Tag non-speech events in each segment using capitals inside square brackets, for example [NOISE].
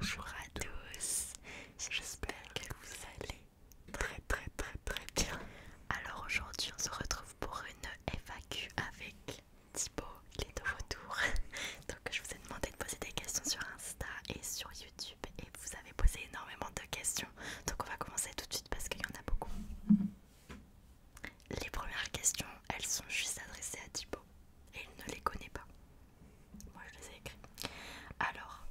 Bonjour à tous, j'espère que vous allez très très très très bien. Alors aujourd'hui on se retrouve pour une FAQ avec Thibault. il est de retour. [LAUGHS] Donc je vous ai demandé de poser des questions sur Insta et sur YouTube et vous avez posé énormément de questions. Donc on va commencer tout de suite parce qu'il y en a beaucoup. Les premières questions, elles sont juste adressées à Thibaut et il ne les connaît pas. Moi je les ai écrites. Alors,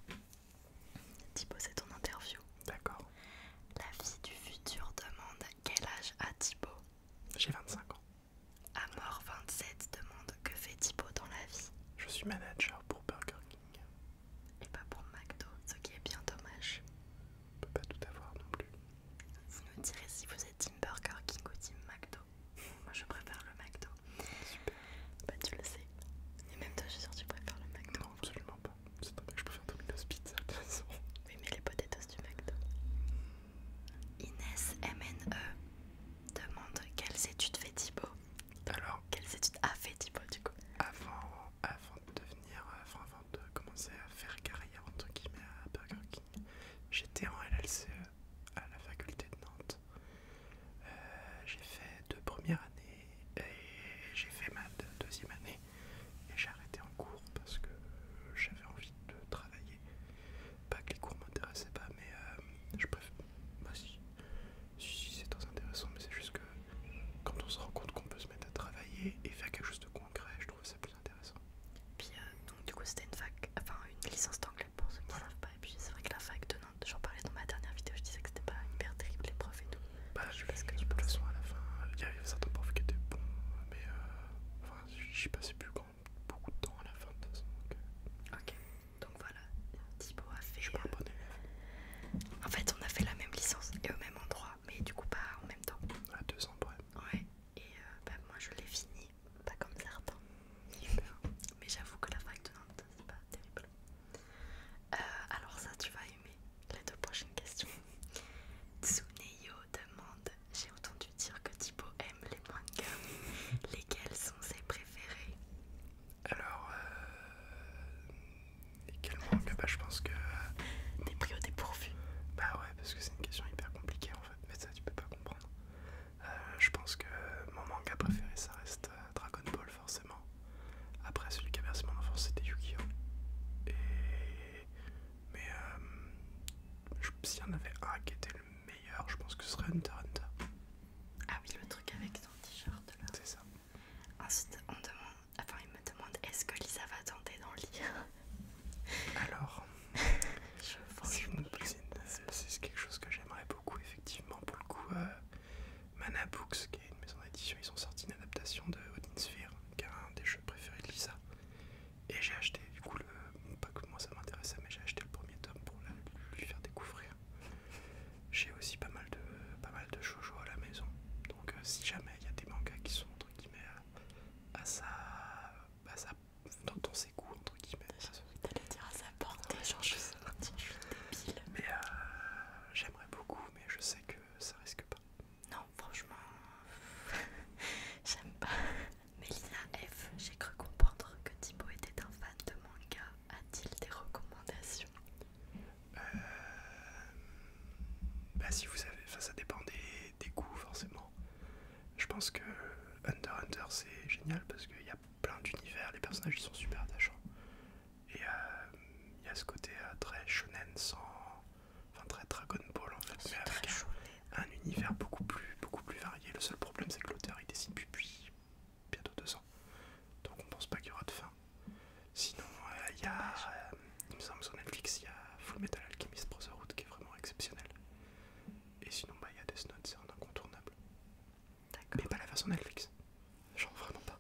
Thibaut, c'est ton interview. D'accord. La vie du futur demande quel âge a Thibaut J'ai 25 ans. À mort 27 demande que fait Thibaut dans la vie Je suis manager pour Burger King et pas pour McDo, ce qui est bien dommage. On peut pas tout avoir non plus. Vous nous direz si vous êtes Tim Burger King ou Tim McDo. Moi je préfère le McDo. Super. Bah tu le sais. Et même toi je suis sûre que tu préfères le McDo. Non absolument pas. C'est pas vrai que je préfère Domino's Pizza de toute façon. Oui mais les potatoes du McDo. Inès MNE demande quelles études fait Thibaut alors, quelles études a fait du coup avant, de devenir, euh, avant de commencer à faire carrière entre guillemets à Burger King, j'étais en LLCE à la faculté de Nantes. Euh, j'ai fait deux premières années et j'ai fait ma deuxième année et j'ai arrêté en cours parce que j'avais envie de travailler. Pas que les cours m'intéressaient pas, mais euh, je préfère. moi bah, aussi. Si, c'est très intéressant, mais c'est juste que quand on se rend compte qu'on peut se mettre à travailler et faire quelque chose de concret, je trouve ça plus intéressant. Puis, donc, du coup, c'était une fac, enfin une licence d'anglais pour ceux qui ne savent pas. Et puis, c'est vrai que la fac de Nantes, j'en parlais dans ma dernière vidéo, je disais que c'était pas hyper terrible les profs et tout. Bah, je sais ce que je De à la fin, il y avait certains profs qui étaient bons, mais euh, j'y passais plus grand, beaucoup de temps à la fin de toute façon. Euh. Ok. Donc voilà, Thibaut a fait. Je euh, en fait, on a fait la même licence et au même endroit, mais du coup pas en même temps. À deux Ouais, et euh, bah, moi je l'ai fini, pas comme certains. [LAUGHS] mais j'avoue que la fac de Nantes, c'est pas terrible. Euh, alors, ça, tu vas aimer les deux prochaines questions. Tsuneyo demande J'ai entendu dire que Thibaut aime les mangas. [LAUGHS] Lesquels sont ses préférés alors, euh, et quel bah, Je pense que. les T'es pris Bah ouais, parce que c'est une question hyper compliquée en fait, mais ça tu peux pas comprendre. Euh, je pense que mon manga préféré ça reste euh, Dragon Ball forcément. Après celui qui a versé mon enfance c'était Yu-Gi-Oh! Et. Mais euh, s'il y en avait un qui était le meilleur, je pense que ce serait Hunter Hunter. Ah oui, le truc avec ton t-shirt là. C'est ça. Ensuite, on demande, enfin, il me demande est-ce que Lisa va tenter d'en lire Alors, je une cousine, c'est quelque chose que j'aimerais beaucoup, effectivement. Pour le coup, euh, Mana Books, qui est une maison d'édition, ils ont sorti une adaptation de Odin Sphere, qui est un des jeux préférés de Lisa. Et j'ai acheté, du coup, le, pas que moi ça m'intéressait, mais j'ai acheté le premier tome pour lui faire découvrir j'ai aussi pas mal de pas à la maison. Donc euh, si jamais il y a des mangas qui sont entre guillemets à, ça, sa, dans, ses entre guillemets. T'allais dire à sa portée, je suis débile. Mais euh, j'aimerais beaucoup, mais je sais que ça risque pas. Non, franchement, [LAUGHS] j'aime pas. [LAUGHS] Melina F, j'ai cru comprendre que Thibaut était un fan de mangas a-t-il des recommandations euh, bah si vous avez, ça dépend des, goûts forcément. Je pense que Hunter Hunter c'est génial parce qu'il y a plein d'univers, les personnages ils sont super attachants. Et euh, il y a ce côté euh, très shonen sans, enfin très Dragon Ball en fait, mais avec un, univers beaucoup plus, beaucoup plus varié. Le seul problème c'est que l'auteur il dessine puis bientôt deux ans. Donc on pense pas qu'il y aura de fin. Sinon, euh, il y a, euh, il me semble sur Netflix, il y a Full Metal Alchemist Brotherhood qui est vraiment exceptionnel. Et sinon, bah, il y a Death Note, c'est un incontournable. Mais pas la version Netflix. Genre vraiment pas.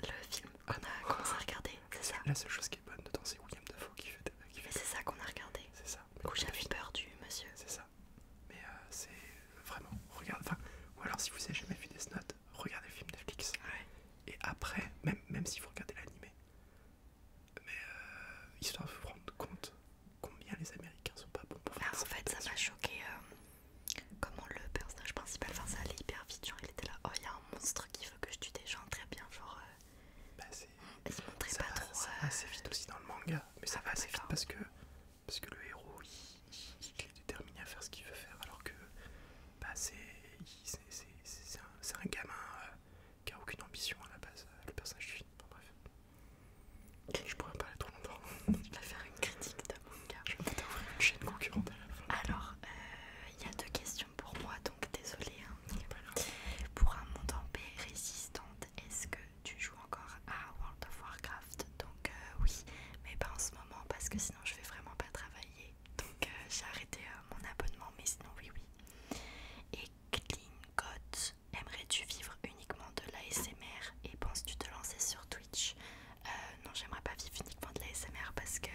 Le film qu'on a commencé à regarder, c'est ça La seule chose qui est bonne dedans, c'est William Dafoe qui fait des qui fait Mais c'est ça qu'on a regardé. C'est ça. Où j'avais peur du monsieur. C'est ça. Mais euh, c'est vraiment, regarde, enfin, ou alors si vous avez jamais vu Death Note, regardez le film Netflix. Et après, même, même si vous regardez l'anime, mais il euh, histoire de rendre compte combien les Américains sont pas bons pour faire bah, ça. En fait, ça m'a choqué euh, comment le personnage principal, enfin, ça allait hyper vite. Genre, il était là, oh, il y a un monstre qui veut que je tue des gens, très bien. Genre, euh, bah, il se montrait pas trop. Ça assez vite aussi dans le manga, mais ça ah, va assez vite parce que, parce que le héros il est déterminé à faire ce qu'il veut faire alors que bah, c'est un, gamin euh, qui a aucune ambition à la base, euh, le personnage du bref, je pourrais pas parler trop longtemps. Je vas faire une critique de manga. Je vais ouvrir une chaîne concurrente Alors, euh, il y a deux questions pour moi, donc désolé. Hein. pour un monde en paix résistante, est-ce que tu joues encore à World of Warcraft Donc oui, mais pas en ce moment parce que sinon je vais vraiment pas travailler donc euh, j'ai arrêté euh, mon abonnement, mais sinon oui oui. Et Klingot, aimerais-tu vivre uniquement de l'ASMR et penses-tu te lancer sur Twitch euh, Non, j'aimerais pas vivre uniquement de l'ASMR parce que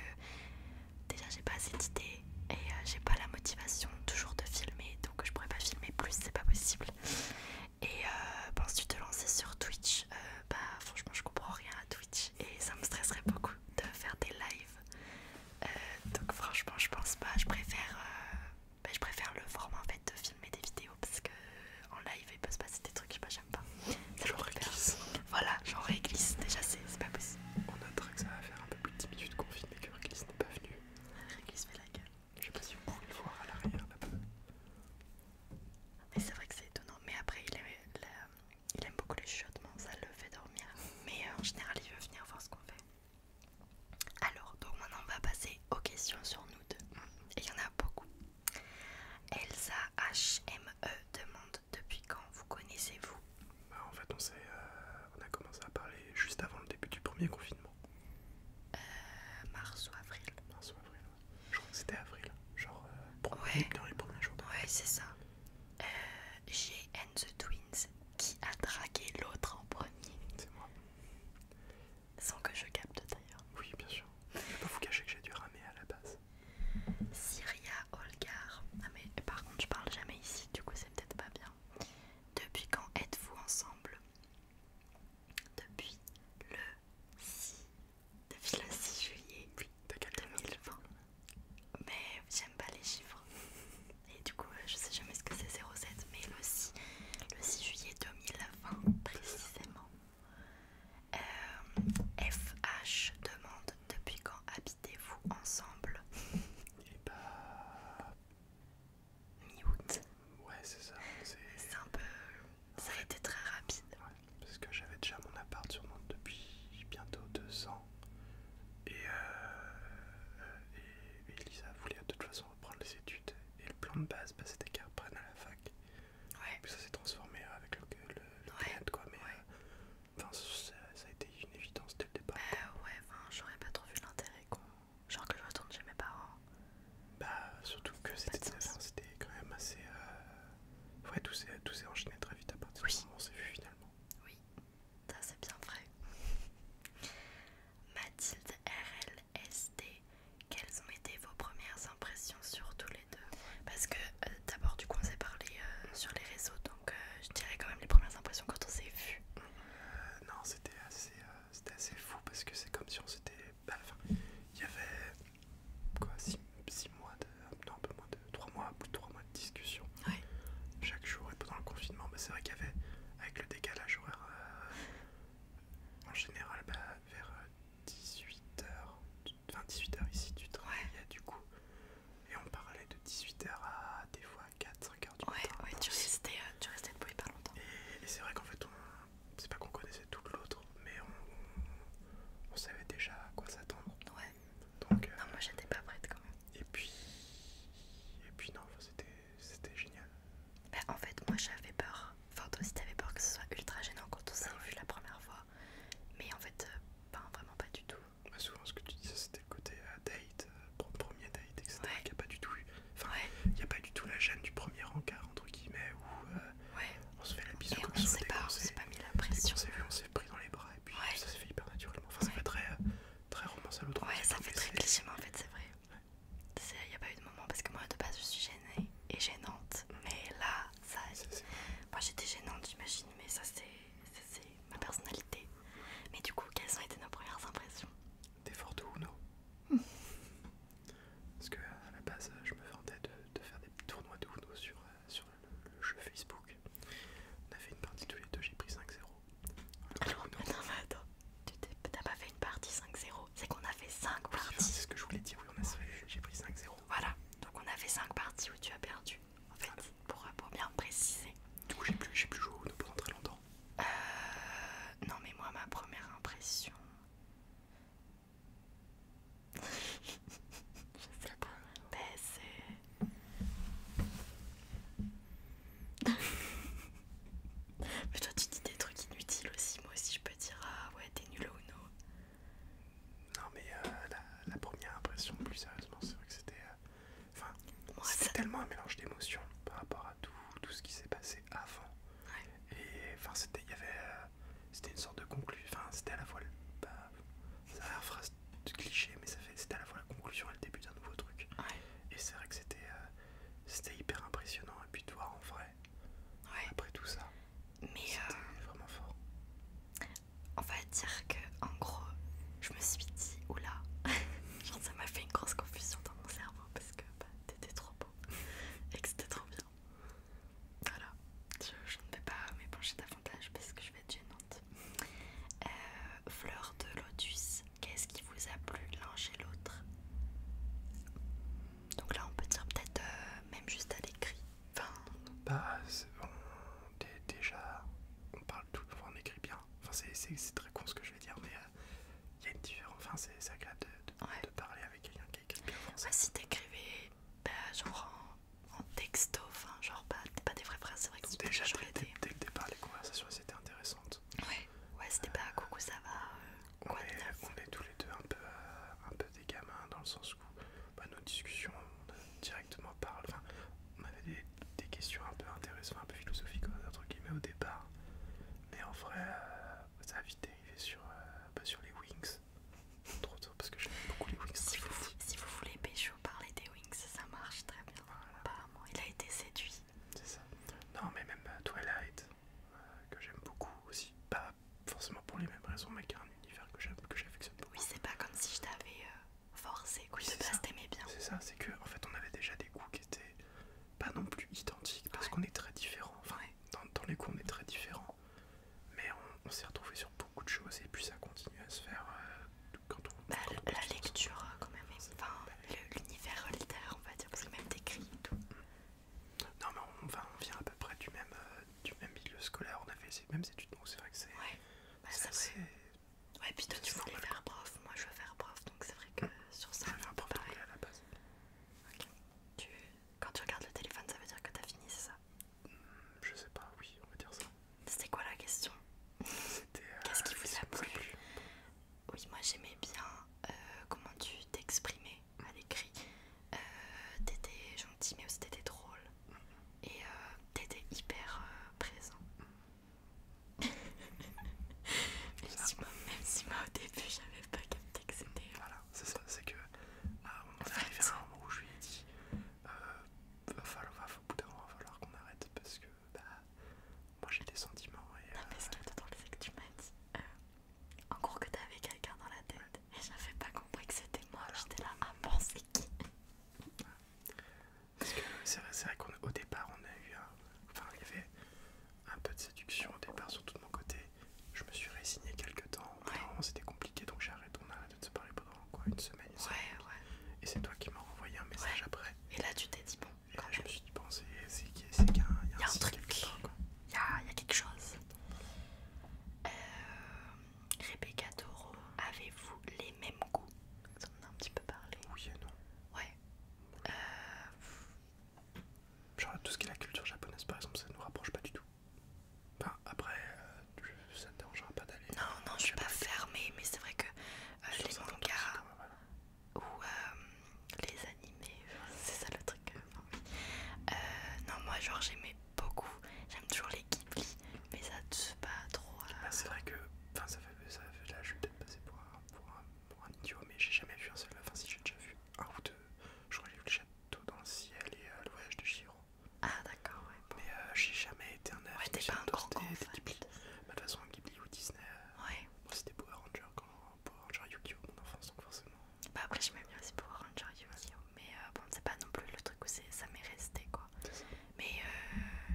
déjà j'ai pas assez d'idées et j'ai pas la motivation toujours de filmer, donc je pourrais pas filmer plus, c'est pas possible. Et penses-tu te lancer sur Twitch Bah franchement je comprends rien à Twitch et ça me stresserait beaucoup de faire des lives. Euh, donc franchement je pense pas, je préfère, euh, ben, je préfère le format en fait de filmer des vidéos parce que en live il peut se passer des trucs que j'aime pas. Ça genre réglisse Voilà, genre glisse, déjà c'est pas possible. On notera que ça va faire un peu plus de 10 minutes qu'on filme et que réglisse n'est pas venu. Réglisse fait la gueule. Je sais pas si vous pouvez le voir à l'arrière là Mais c'est vrai que c'est étonnant, mais après il est, la, il aime beaucoup les chuchotements, ça le fait dormir. Mais euh, en général, il veut venir voir ce qu'on fait. Alors, donc maintenant, on va passer aux questions sur nous deux. Et il y en a beaucoup. Elsa HME demande Depuis quand vous connaissez-vous bah, En fait, on, euh, on a commencé à parler juste avant le début du premier confinement. Euh, mars ou avril. Mars ou avril je crois que c'était avril, genre euh, premier dans les jours. Ouais, c'est ça. Euh, j'ai and the Twins qui a dragué l'autre en premier. C'est moi. Sans que je capte d'ailleurs. Oui, bien sûr. Je pas vous cacher que j'ai dû ramer à la base. Syria Olgar. Ah, mais par contre, je parle jamais ici, du coup, c'est peut-être pas bien. Depuis quand êtes-vous ensemble Depuis le 6 depuis le 6 juillet 2020. Mais j'aime pas les chiffres. Et du coup, je sais jamais ce que c'est 07, mais le 6, juillet 2020 précisément. FH euh, demande depuis quand habitez-vous ensemble Et pas Mi-août. Ouais, c'est ça. C'est un peu. Ça a été très rapide parce que j'avais déjà mon appart depuis bientôt deux ans. Euh, et, Elisa voulait de toute façon reprendre les études. Et le plan de base, bah, c'était qu'elle reprenne à la fac. Ouais. Puis ça s'est transformé avec le, le, quoi. Mais euh, ça, a été une évidence dès le départ. Euh, ouais, j'aurais pas trop vu l'intérêt Genre que je retourne chez mes parents. Bah, surtout que c'était quand même assez. Ouais, tout s'est enchaîné très vite à partir du moment où on s'est vu finalement. Oui, ça c'est bien vrai. [LAUGHS] Mathilde RLSD, quelles ont été vos premières impressions sur tous les deux Parce que euh, d'abord, du coup, on s'est parlé euh, sur les réseaux, donc euh, je dirais quand même les premières impressions quand on s'est vu. non, c'était assez, fou parce que c'est comme si on s'était. Bah, enfin, il y avait quoi, 6 mois de. Non, un peu moins de 3 mois, plus 3 mois de discussion. Chaque jour et pendant le confinement, bah, c'est vrai qu'il y avait, avec le décalage horaire, euh, en général, bah, vers 18h, euh, enfin 18h ici, tu travaillais du coup. Et on parlait de 18h à des fois 4-5h du matin. Ouais, euh, tu restais, tu pas longtemps. Et, c'est vrai qu'en fait, c'est pas qu'on connaissait tout l'autre, mais on, savait déjà à quoi s'attendre. Euh, non, moi j'étais pas prête quand même. Et puis, et puis non, c'était génial. Bah, en fait, moi j'avais peur. Enfin, toi aussi t'avais peur que ce soit ultra gênant quand on s'est ah vu la première fois. Mais en fait, pas euh, ben, vraiment pas du tout. Bah, souvent, ce que tu dis c'était le côté euh, date, premier date, etc. Il n'y a pas du tout il y a pas du tout la gêne du premier encart, entre guillemets, où on se fait la bise comme on s'est pas, mis la pression pris dans les bras et puis ça se fait hyper naturellement. Enfin, c'est pas très, euh, très romance à l'autre. Ouais, ça fait très cliché, mais en fait, c'est vrai. Il n'y a pas eu de moment parce que moi de base je suis gênée et gênante, mm. mais là, ça. Moi j'étais gênante, j'imagine, mais ça c'est ma personnalité. Mais du coup, quelles ont été nos premières impressions Des fortes ou non [LAUGHS] Parce que à la base, je me vantais de, de faire des tournois de Uno sur, euh, sur le, jeu Facebook. On a fait une partie tous les deux, j'ai pris 5-0. Alors, non, mais attends, tu t'as pas fait une partie 5-0, c'est qu'on a fait 5 parties. C'est ce que je voulais dire, oui, j'ai pris 5-0. Voilà, donc on a fait 5 parties où tu as perdu, en fait, pour, pour bien préciser. Du coup, j'ai plus, joué au pendant très longtemps. Euh. Non, mais moi, ma première impression. Je sais pas. Mais tu dis des trucs inutiles aussi. Moi aussi, je peux dire Ah ouais, t'es nul ou non. Non, mais euh, la, première impression, plus sérieusement, c'est vrai que c'était. Euh, tellement un mélange d'émotions par rapport à tout, tout ce qui s'est passé avant. Et enfin, c'était. Il y avait. Euh, c'était une sorte de conclusion. Enfin, c'était à la fois. Le, phrase de cliché, mais c'était à la fois la conclusion et le début d'un nouveau truc. Et c'est vrai que c'était euh, c'était hyper impressionnant. Et puis de voir en vrai, après tout ça, euh, c'était vraiment fort. On va dire que, en gros, je me suis dit, oula, [LAUGHS] ça m'a fait une grosse confusion dans mon cerveau parce que bah, t'étais trop beau et que c'était trop bien. Voilà, je, je ne vais pas m'épancher davantage parce que je vais gênante. Euh, fleur de lotus, qu'est-ce qui vous a plu l'un chez l'autre Donc là, on peut dire peut-être euh, même juste à l'écrit. Enfin, bah, on, déjà, on parle tout, le temps, on écrit bien. Enfin, c'est très con ce que je vais dire, mais euh, il y a une différence. Enfin, c'est agréable de, de, parler avec quelqu'un qui écrit bien si t'écrivais, écrivais bah, genre en texto, enfin genre pas, pas des vrais frères, c'est vrai que c'était déjà pas dès, dès, dès le départ les conversations étaient intéressantes. Ouais, ouais c'était pas euh, coucou ça va. Euh, on, est, tous les deux un peu, euh, un peu des gamins dans le sens où bah, nos discussions on directement parle, enfin on avait des, des questions un peu intéressantes, un peu philosophiques entre guillemets au départ. Mais en vrai ça a vite dérivé sur, bah, sur les wings Trop tôt parce que j'aime beaucoup les Wings. Si vous, voulez Pécho parler des Wings, ça marche très bien. Apparemment, il a été séduit. C'est ça. Non, mais même euh, Twilight, euh, que j'aime beaucoup aussi. Pas forcément pour les mêmes raisons, mais qui a un univers que j'affectionne beaucoup. Oui, c'est pas comme si je t'avais euh, forcé, que tu t'aimais bien. C'est ça, c'est que en fait, on avait déjà des goûts qui étaient pas non plus identiques parce qu'on est très différents. dans, les goûts, on est très différents. Mais on, s'est retrouvé sur beaucoup de choses et puis ça continue à se faire euh, quand on. Bah, la lecture quand même, enfin bah, l'univers littéraire on va dire, parce que même décrit et tout. Non mais on, enfin, on vient à peu près du même, euh, du même milieu scolaire, on a fait les mêmes études, donc c'est vrai que c'est... Ouais, bah, c'est assez... Ouais, puis toi tu voulais faire prof, moi je veux faire prof, donc c'est vrai que sur ça... Je veux faire prof à la base. Quand tu regardes le téléphone, ça veut dire que as fini, c'est ça je sais pas, oui, on va dire ça. C'était quoi la question euh, Qu'est-ce qui vous a plu Oui, moi j'aimais bien euh, comment tu t'exprimais à l'écrit. Euh, t'étais gentil, mais aussi t'étais drôle. Et t'étais hyper présent. [LAUGHS] même, si moi, au début j'avais pas capté que c'était. Voilà, c'est ça, c'est que. Ah, on moment arrivé à un moment où je lui ai dit va falloir, va, au bout d'un va falloir qu'on arrête parce que bah, moi j'ai des sentiments. Et, non, ce qui est drôle, c'est que tu m'as dit euh, en cours que t'avais quelqu'un dans la tête et j'avais pas compris que c'était moi. J'étais là, à ah penser qui Parce que c'est vrai, qu'au départ, on a eu un. Enfin, il y avait un peu de séduction au départ, surtout de mon côté. Je me suis résignée quelques temps. vraiment C'était compliqué donc j'ai arrêté, on a arrêté de se parler pendant une semaine. Et c'est toi qui m'as renvoyé un message après. Et là, tu t'es dit, bon, et là, Je me suis dit, bon, c'est qu'il y a un, y y a un truc. Il y a, quelque chose. Euh, Rebecca Toro, avez-vous les mêmes goûts On en a un petit peu parlé. Oui non. Ouais. Euh, Genre tout ce qui est la culture japonaise par exemple ça nous rapproche pas du tout. Bah, après, euh, ça ne te dérangera pas d'aller. Non, euh, non, je suis pas fermée, mais c'est vrai que euh, les mangas ou les animés, c'est ça le truc. non, moi, genre, j'aimais beaucoup. J'aime toujours les Ghibli, mais ça ne fait pas trop. Bah, c'est vrai que ça fait, ça fait. Là, je vais peut-être passer pour un, pour idiot, mais j'ai jamais vu un seul. Enfin, si j'ai déjà vu un ou deux, je crois j'ai vu le château dans le ciel et le voyage de Chiro. Ah d'accord, ouais. Mais euh, j'ai jamais été un Ouais, t'es pas un grand fan. Bah, de toute façon, Ghibli ou Disney. Euh, ouais. c'était Power Rangers, quand Power Rangers Yu-Gi-Oh mon enfance donc forcément. Bah après j'aimais bien aussi Power Rangers Yu-Gi-Oh mais euh, bon c'est pas non plus le truc où ça m'est resté quoi. Mais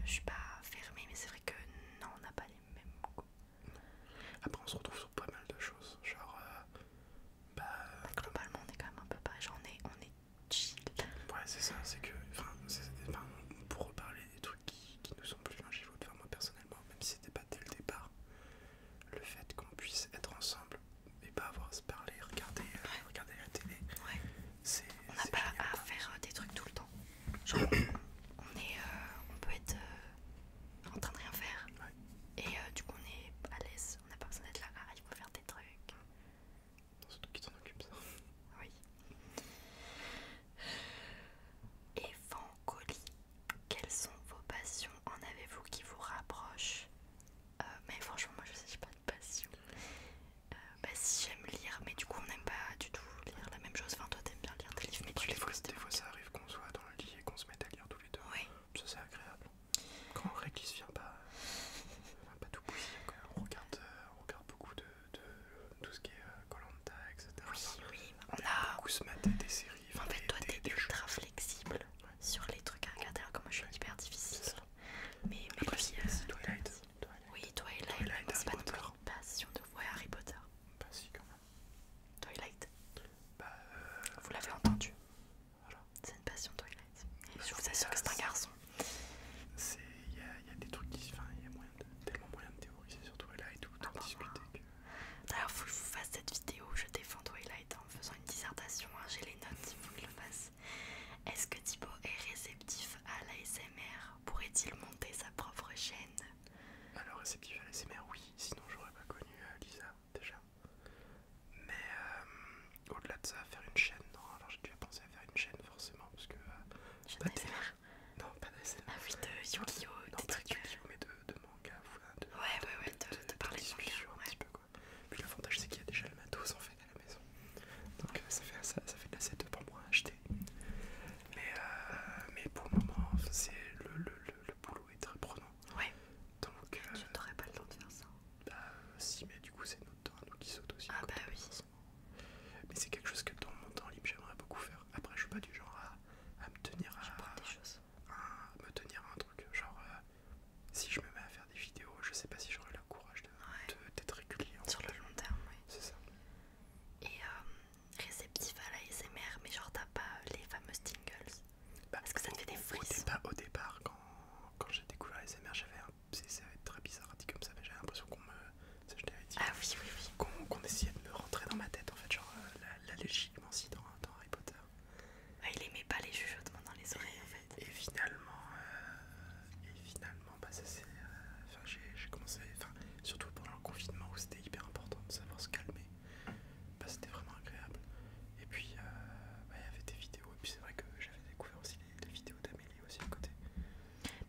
je suis pas fermée mais c'est vrai que non on n'a pas les mêmes goûts. Après on se retrouve sur pas mal de choses genre bah, bah, globalement on est quand même un peu pareil on est Ouais, c'est ça, c'est que. Enfin, on reparler des trucs qui, ne nous sont plus dangereux de faire, moi personnellement, même si c'était pas dès le départ, le fait qu'on puisse être ensemble et pas avoir à se parler, regarder, euh, regarder la télé, On n'a pas à faire euh, des trucs tout le temps. Genre, on, on euh, peut être en train de rien faire. Et du coup, on est à l'aise, on n'a pas besoin d'être là, ah, il faut faire des trucs toi qui t'en occupe, ça. Oui. Évangoli, quelles sont vos passions En avez-vous qui vous rapprochent euh, Mais franchement, moi je sais, j'ai pas de passion. Euh, bah si j'aime lire, mais du coup on n'aime pas du tout lire la même chose. Enfin, toi t'aimes bien lire des livres, mais bah, tu les fois, Des fois ça arrive qu'on soit dans le lit et qu'on se mette à lire tous les deux. Oui. Ça c'est agréable. Quand on se vient pas, pas tout bouillir, quand on regarde. Euh, on regarde beaucoup de, de, tout ce qui est euh, Colanta, euh, etc. Oui, oui, on, a beaucoup se mater des séries. En fait, des, toi, t'es ultra flexible sur les trucs à regarder. Alors, comme moi, je suis hyper difficile. Mais, mais Après, euh, Twilight. Twilight. Oui, Twilight. c'est pas une passion de voir Harry Potter. Bah, si, quand même. Twilight. Bah, euh... Vous l'avez entendu. Voilà. C'est une passion, Twilight je vous assure que c'est un garçon. Il y, a des trucs qui. Enfin, il y a tellement moyen de théoriser sur Twilight ou d'en ah bah. discuter. Que... D'ailleurs, faut que je vous fasse cette vidéo où je défends Twilight en faisant une dissertation. Hein, j'ai les notes, il faut que je le fasse. Est-ce que Thibaut est réceptif à l'ASMR Pourrait-il monter sa propre chaîne Alors, réceptif à l'ASMR, oui, sinon j'aurais pas connu euh, Lisa déjà. Mais euh, au-delà de ça, faire une chaîne. Non, alors j'ai déjà pensé à faire une chaîne forcément parce que. Euh, pas de pas non, pas de Ah oui, de Yu-Gi-Oh! Non, des pas trucs... de euh, Yu-Gi-Oh! mais de, de manga. De, ouais, ouais, ouais, de, parler Un petit peu, quoi. Puis l'avantage, c'est qu'il y a déjà le matos en fait à la maison. Donc euh, ça, fait, ça, ça fait de la pour moi à acheter. Mais, mais pour le moment, c'est le, le, le, boulot est très prenant. Ouais. Donc. Tu n'aurais pas le temps de faire ça. Bah, si, mais du coup, c'est un qui saute aussi. Ah bah oui. Mais c'est quelque chose que dans mon temps libre j'aimerais beaucoup faire. Après je suis pas du genre à, me tenir à, me tenir un truc. Genre euh, si je me mets à faire des vidéos, je sais pas si j'aurai le courage d'être de, régulier. Sur le long terme, oui. C'est ça. Et euh, réceptif à la SMR, mais genre t'as pas les fameuses tingles. Bah, Parce que ça te fait des frissons. Au départ, au départ quand, j'ai découvert les SMR, j'avais un ça va être très bizarre dit comme ça, mais j'avais l'impression qu'on me. Ça, dit. Ah qu'on essayait de me rentrer dans ma tête, en fait, genre euh, la, la dans, Harry Potter. Ah, il aimait pas les jugeotements dans les oreilles, en fait. Et finalement, euh, et finalement bah, ça c'est. Euh, enfin, j'ai commencé. Enfin, surtout pendant le confinement où c'était hyper important de savoir se calmer. Bah, c'était vraiment agréable. Et puis, bah, il y avait des vidéos, et puis c'est vrai que j'avais découvert aussi des vidéos d'Amélie aussi à côté.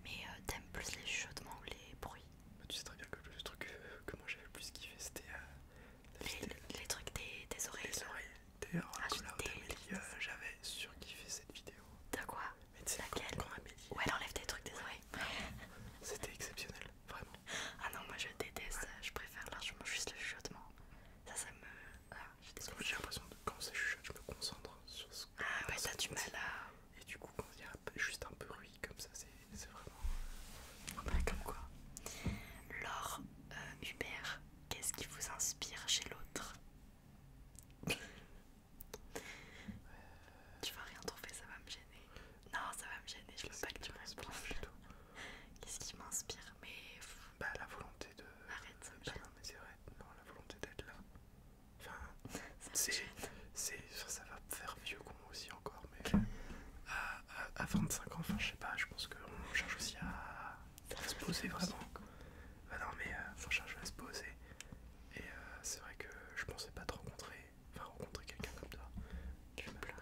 Mais euh, t'aimes plus les chuchotements ou les bruits bah, Tu sais très bien que le truc que, moi j'avais le plus kiffé c'était euh, les, trucs des, des oreilles. Les oreilles. D'ailleurs, d'Amélie euh, j'avais surkiffé cette vidéo. De quoi Mais c'est Laquelle quand, Où elle enlève des trucs des oreilles. [LAUGHS] c'était exceptionnel, vraiment. Ah non, moi je déteste, je préfère largement juste le chuchotement. Ça, ça me. Parce que J'ai l'impression que quand ça chuchote, je me concentre sur ce que Ah ouais, ça du mal à. Et du coup, quand il y a juste un peu bruit comme ça, c'est vraiment. Euh, comme quoi. Laure, euh, Hubert, qu'est-ce qui vous inspire chez l'autre euh. Tu vas rien trouver, ça va me gêner. Non, ça va me gêner, je veux pas que tu me répondes. Qu'est-ce qui m'inspire Mais. Bah, la volonté de. Arrête, ça me bah, gêne. Non, mais c'est vrai, non, la volonté d'être là. Enfin, c'est, ça va faire vieux con aussi encore, mais euh, à, 25 ans, enfin je sais pas, je pense qu'on cherche aussi à, se poser vraiment. Bah non, mais on euh, cherche à se poser. Et euh, c'est vrai que je pensais pas te rencontrer, enfin rencontrer quelqu'un comme toi. Tu me pleurer.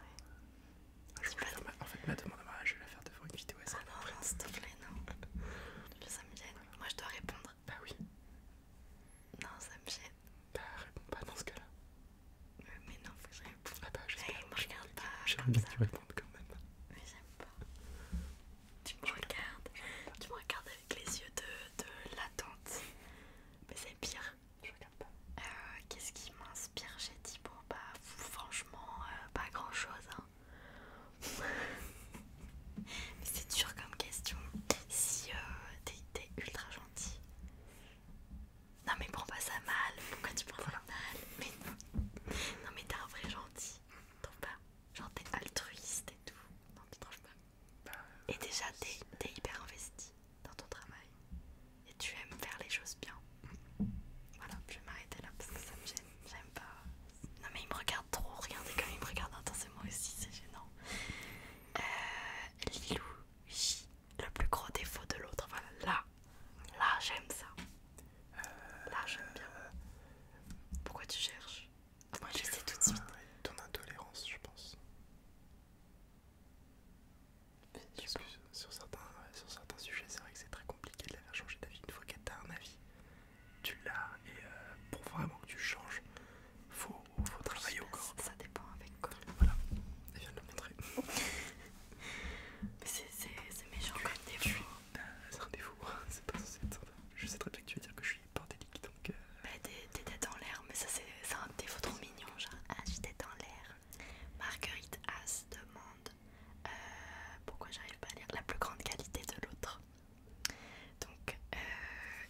je En fait, ma demande je vais la faire devant une vidéo. Ah non, non s'il te plaît, non. [LAUGHS] ça me gêne. Moi, je dois répondre bah oui. Non, ça me gêne. Bah réponds pas dans ce cas-là. Euh, mais non, faut que je réponde. Ah bah, regarde pas. que tu répondes quand même. Mais j'aime pas. Tu me regardes. Tu me regardes avec les yeux de, de l'attente. Mais c'est pire. Je regarde pas. Euh, qu'est-ce qui m'inspire chez Thibaut Bah franchement, euh, pas grand-chose. Hein c'est dur comme question. Si euh, t'es ultra gentil. Non mais prends pas ça mal. Pourquoi tu prends ça mal mais non. non mais t'es un vrai gentil. T'en pas. Genre t'es altruiste et tout. Non tu trouves pas. Bah, et déjà t'es hyper investi dans ton travail. Et tu aimes faire les choses bien. Voilà, je vais m'arrêter là parce que ça me gêne j'aime pas. Non mais il me regarde trop, regardez comme il me regarde intensément aussi, c'est gênant. Euh, Lilou, le plus gros défaut de l'autre, voilà, là, là j'aime ça. là j'aime bien. Pourquoi tu cherches Moi je sais tout de suite. Euh, ton intolérance, je pense. Parce que sur certains, sur certains sujets, c'est vrai que c'est très compliqué de la faire changer d'avis une fois qu'elle a un avis tu l'as et euh, pour vraiment que tu changes, faut, faut travailler au corps. Ça dépend avec quoi. Voilà, je viens de le montrer. [LAUGHS] Mais c'est méchant comme défaut. C'est un défaut, [LAUGHS] c'est pas censé être ça. Je sais très bien que tu veux dire que je suis bordélique donc. Mais euh. bah, t'es tête en l'air, mais ça c'est un défaut trop mignon. Genre, ah, j'ai tête en l'air. Marguerite As demande euh, pourquoi j'arrive pas à lire la plus grande qualité de l'autre. Donc, euh,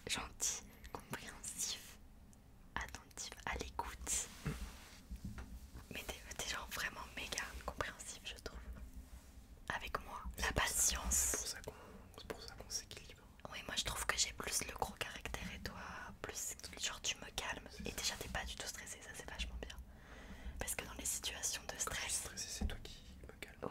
gentil, compréhensif, attentif, à l'écoute. Mais t'es genre vraiment méga compréhensif, je trouve. Avec moi, la patience. C'est pour ça qu'on s'équilibre. Oui, moi je trouve que j'ai plus le gros caractère et toi, plus genre tu me calmes. Et déjà t'es pas du tout stressé, ça c'est vachement bien. Parce que dans les situations de stress. c'est toi qui me calmes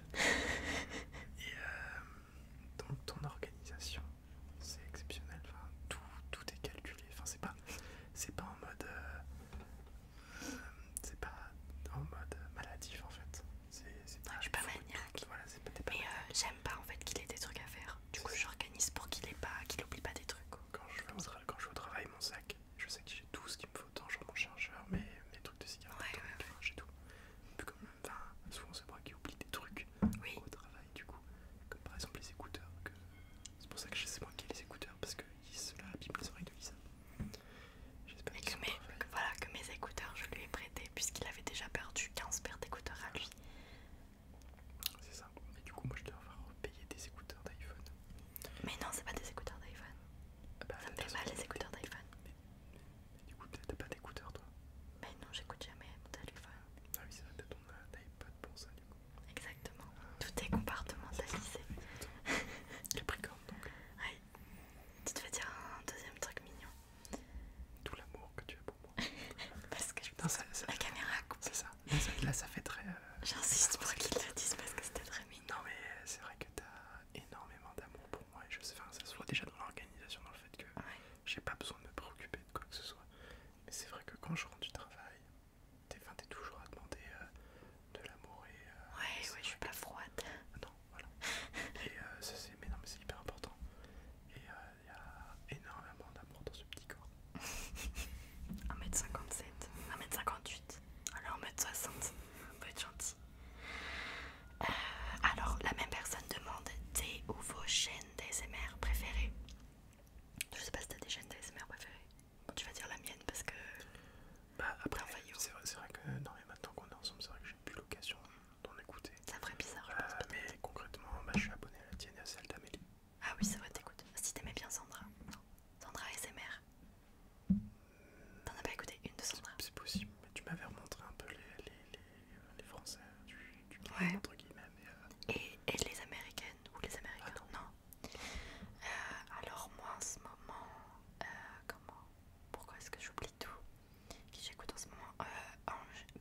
et euh, donc ton organisation, c'est exceptionnel. tout, est calculé. Enfin, c'est pas, c'est pas en mode, euh, c'est pas en mode maladif en fait. C'est pas. Je suis pas maniaque. Mais euh, j'aime pas en fait qu'il ait des trucs à faire. Du coup, j'organise pour qu'il ait pas, oublie pas des trucs. Quand je, quand je vais au travail, mon sac, je sais que j'ai tout ce qu'il me faut autant j'ai mon chargeur, mais mes trucs de cigarettes, ouais, ouais, ouais. tout. Plus comme, enfin, souvent c'est moi qui oublie des trucs au travail du coup, comme par exemple les écouteurs. C'est pour ça que je sais moi qui ai les écouteurs parce que cela abîme les oreilles de Lisa. J'espère que, voilà, que mes écouteurs je lui ai prêté puisqu'il avait déjà perdu 15 paires d'écouteurs à lui. C'est ça, mais du coup moi je dois avoir payé des écouteurs d'iPhone. Mais non, c'est pas des écouteurs d'iPhone. Bah, ça me fait mal les écouteurs d'iPhone. Mais, du coup, t'as pas d'écouteurs toi Mais bah, non, j'écoute jamais d'iPhone. téléphone. Ah oui, c'est vrai, t'as ton euh, iPod pour ça du coup. Exactement, ah. tout est compartementalisé. [LAUGHS] Capricorne donc. Ouais. Tu te fais dire un deuxième truc mignon. Tout l'amour que tu as pour moi. [LAUGHS] parce que je la caméra C'est ça. Là, ça. fait très. Euh, J'insiste pour qu'ils le disent parce que c'était très mignon. Non, mais euh, c'est vrai que t'as énormément d'amour pour moi et je sais, ça se voit déjà dans l'organisation, dans le fait que j'ai pas besoin de me préoccuper de quoi que ce soit. Mais c'est vrai que quand je rentre du travail, t'es toujours à demander euh, de l'amour et. Euh, ouais, ouais, je suis pas froide. Ah non, voilà. et euh, ça, c'est mais non, mais c'est hyper important. Et il y a énormément d'amour dans ce petit corps. 1m57, [LAUGHS] 1m58, alors 1m60, on va être gentil. Euh, alors, la même personne demande tes ou vos chaînes d'ASMR préférées. Je sais pas si t'as des chaînes d'ASMR préférées. tu vas dire la mienne parce que. Bah, après, c'est vrai, que non, mais maintenant qu'on est ensemble, c'est vrai que j'ai plus l'occasion d'en écouter. Ça ferait bizarre, euh, mais concrètement, bah, je suis abonné à la tienne et à celle d'Amélie. Ah oui, c'est vrai, t'écoutes. Si t'aimais bien Sandra, Sandra ASMR. T'en as pas écouté une de Sandra C'est possible, mais tu m'avais remontré un peu les, les, les, Français entre guillemets. Euh, et, les Américaines, ou les Américains, ah non. Euh, alors moi en ce moment, euh, comment Pourquoi est-ce que j'oublie tout Qui j'écoute en ce moment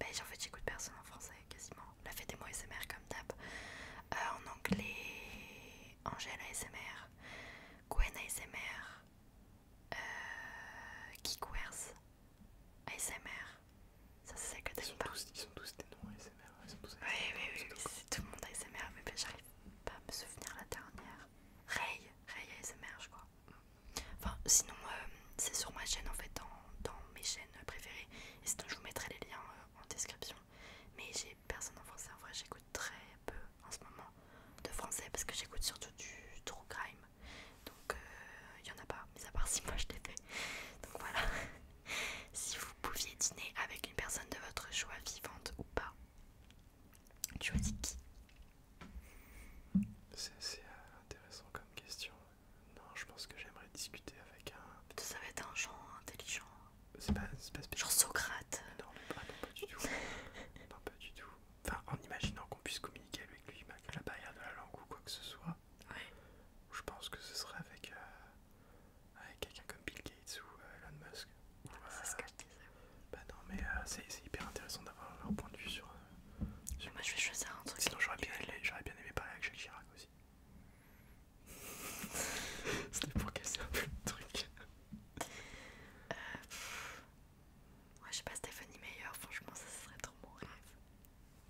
ben, en fait j'écoute personne en français quasiment. La fête des mots ASMR comme d'hab. en anglais, Angèle ASMR, Gwen ASMR, euh, ASMR, ça c'est ça que t'aimes pas. ils sont tous des noms ASMR, ils sont tous ASMR. Oui, oui, oui, c'est tout le monde ASMR, mais ben, j'arrive pas à me souvenir la dernière. Ray, Ray ASMR, je crois. Enfin, sinon, euh, c'est sur ma chaîne en fait, dans, dans mes chaînes préférées, et sinon je vous mettrai les liens euh, en description. Mais j'ai personne en français, en vrai, j'écoute très peu en ce moment de français parce que j'écoute surtout du true crime donc il euh, n'y y en a pas mis à part si moi je l'ai fait donc voilà [LAUGHS] si vous pouviez dîner avec une personne de votre choix vivante ou pas tu qui c'est assez euh, intéressant comme question non je pense que j'aimerais discuter avec un ça va être un genre intelligent c'est pas, Genre Socrate. Non, pas, du tout. non, pas du tout. [LAUGHS] enfin en imaginant qu'on puisse communiquer avec lui malgré la barrière de la langue ou quoi que ce soit. Ouais. Je pense que ce serait avec, euh, avec quelqu'un comme Bill Gates ou euh, Elon Musk. Ou, ah, euh, ce Bah non mais c'est hyper intéressant d'avoir leur point de vue sur... moi je vais choisir un truc. Sinon j'aurais bien, aimé parler avec Jacques Chirac aussi. [LAUGHS] C'était pour casser un peu le truc. Ouais, je sais pas, Stephanie Meyer, franchement, ça serait trop mon rêve.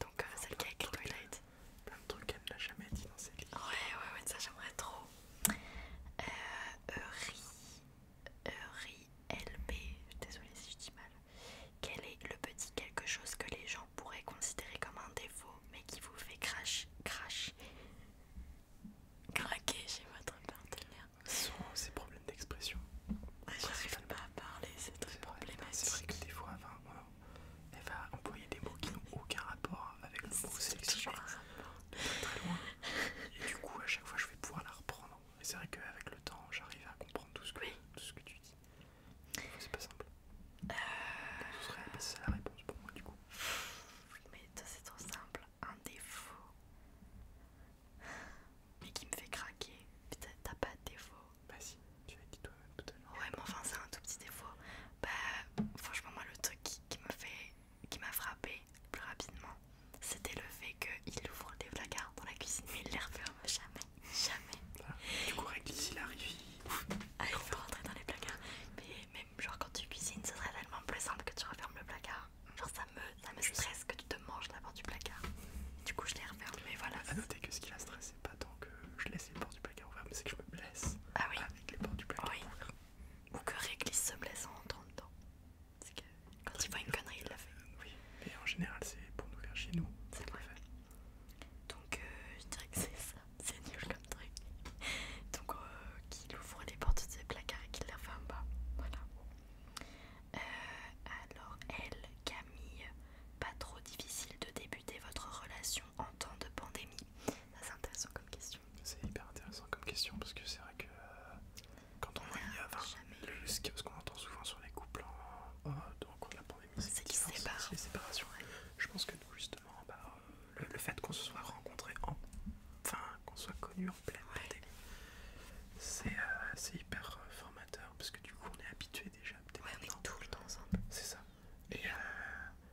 Donc, ça euh, celle qui a écrit Twilight. Plein de trucs qu'elle n'a jamais dit dans ses livres. Ouais, ouais, ouais, ça j'aimerais trop. Euh, Ri, Ri LB, désolée si je dis mal. Quel est le petit quelque chose que les gens pourraient considérer comme un défaut, mais qui vous fait crash, crash, craquer, chez votre partenaire? Sans ces problèmes d'expression. Ouais, ah, J'arrive pas à parler, c'est très problématique. C'est vrai que des fois, elle va employer des mots qui n'ont aucun rapport avec le mot sélectionné. Très, très loin. Et du coup, à chaque fois, je vais pouvoir la reprendre. Et c'est vrai qu'avec le temps, j'arrive à comprendre tout ce que, tu dis. C'est pas simple. Euh... ce serait bah, la réponse pour moi, du coup. Oui, mais toi c'est trop simple un défaut, mais qui me fait craquer. Peut-être t'as pas de défaut. Bah si, tu as dit toi tout à l'heure. Ouais, mais enfin c'est un tout petit défaut. Bah franchement moi le truc qui, me fait, qui m'a frappé plus rapidement, c'était le fait qu'il ouvre les placards dans la cuisine, mais il les referme jamais, jamais. Ah, du coup lui, s'il arrive. Ah, il faut rentrer dans les placards. Mais même genre quand tu cuisines, ce serait tellement plus simple que tu refermes le placard Genre ça me, ça stresse que tu te manges la porte du placard. Du coup je l'ai referme mais voilà. À noter que ce qui la stresse c'est pas tant que je laisse les portes du placard ouvertes, mais c'est que je me blesse ah oui. avec les portes du placard. ouvert Ou que Réglisse se blesse en entrant dedans. C'est que quand il voit une connerie il la fait. Euh, oui, mais en général c'est pour nous faire chez nous. C'est vrai. Donc euh, je dirais que c'est ça, c'est nul comme truc. Donc euh, qu'il ouvre les portes de ses placards et qu'il les referme pas. Voilà. Euh, alors elle, Camille, pas trop difficile de débuter votre relation en temps de pandémie. C'est intéressant comme question. C'est hyper intéressant comme question parce que c'est vrai que euh, quand on, voit y ce qu'on entend souvent sur les couples en, cours de pandémie, c'est qu'ils séparent. Les séparations. Je pense que justement, bah, le, fait qu'on se soit rencontré en enfin qu'on soit connu en plein télé euh, c'est hyper euh, formateur parce que du coup on est habitué déjà. on est tout le temps ensemble. C'est ça. Et, euh,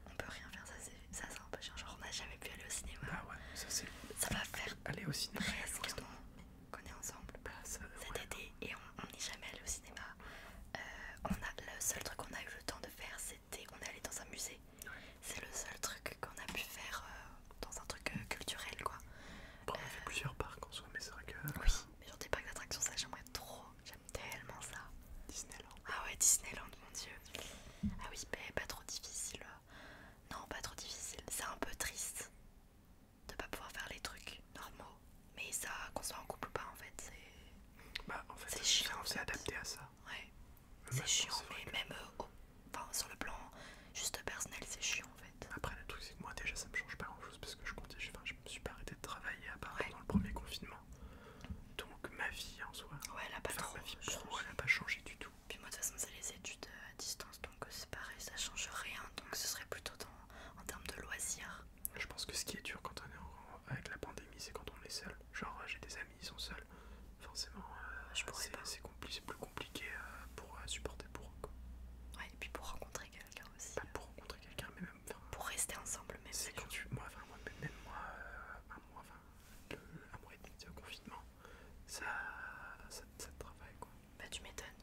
on peut rien faire, ça c'est sympa. Genre on n'a jamais pu aller au cinéma. Bah ouais, ça c'est. Ça va faire. Aller au cinéma. qu'on est ensemble. Bah, cet bah été et on n'est jamais allé au cinéma. on a, le seul truc qu'on a eu le temps de faire, c'était on est allé dans un musée. C'est le seul truc qu'on a pu faire euh, dans un truc euh, culturel quoi. on a fait euh, plusieurs parcs en soi, mais c'est vrai que. Oui, mais genre des parcs d'attractions, ça j'aimerais trop, j'aime tellement ça. Disneyland. Ah ouais, Disneyland, mon dieu. Ah oui, mais pas trop difficile. Non, pas trop difficile. C'est un peu triste de pas pouvoir faire les trucs normaux, mais ça, qu'on soit en couple ou pas, en fait, c'est. Bah, en fait, c'est adapté à ça. Ouais. C'est chiant, mais même Enfin, sur le plan juste personnel, c'est chiant en fait. Après, le truc, c'est que moi déjà ça me change pas grand chose parce que je comptais je me suis pas arrêté de travailler à part dans le premier confinement. Donc, ma vie en soi. Ouais, elle a pas trop. vie changé. pas changé du tout. Puis, moi de toute façon, c'est les études euh, à distance donc euh, c'est pareil, ça change rien. Donc, ce serait plutôt dans, en termes de loisirs. Je pense que ce qui est dur quand on est avec la pandémie, c'est quand on est seul. Genre, j'ai des amis, ils sont seuls. Forcément, euh, c'est compliqué, compliqué euh, pour euh, supporter pour eux. Quoi. et puis pour rencontrer quelqu'un aussi. Pas bah, pour hein. rencontrer quelqu'un, mais même. pour rester ensemble, même. C'est quand Moi, enfin, moi, même moi, euh, un mois, enfin, un mois et demi de confinement, ça, ça, ça te travaille quoi. Bah, tu m'étonnes.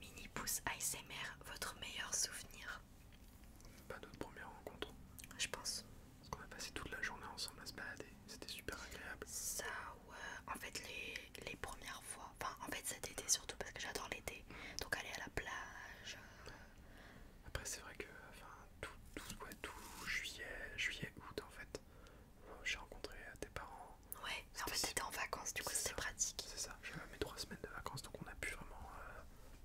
Mini Pouce ASMR, votre meilleur souvenir Pas d'autres notre première rencontre. Je pense. Parce qu'on a passé toute la journée ensemble à se balader, c'était super agréable. Ça, euh, en fait les, premières fois, enfin en fait cet été surtout parce que j'adore l'été, donc aller à la plage. Euh. Après c'est vrai que enfin, tout, tout, juillet, juillet, août en fait, euh, j'ai rencontré tes parents. Ouais, en fait t'étais en vacances du coup c'était pratique. C'est ça, j'avais mes trois semaines de vacances donc on a pu vraiment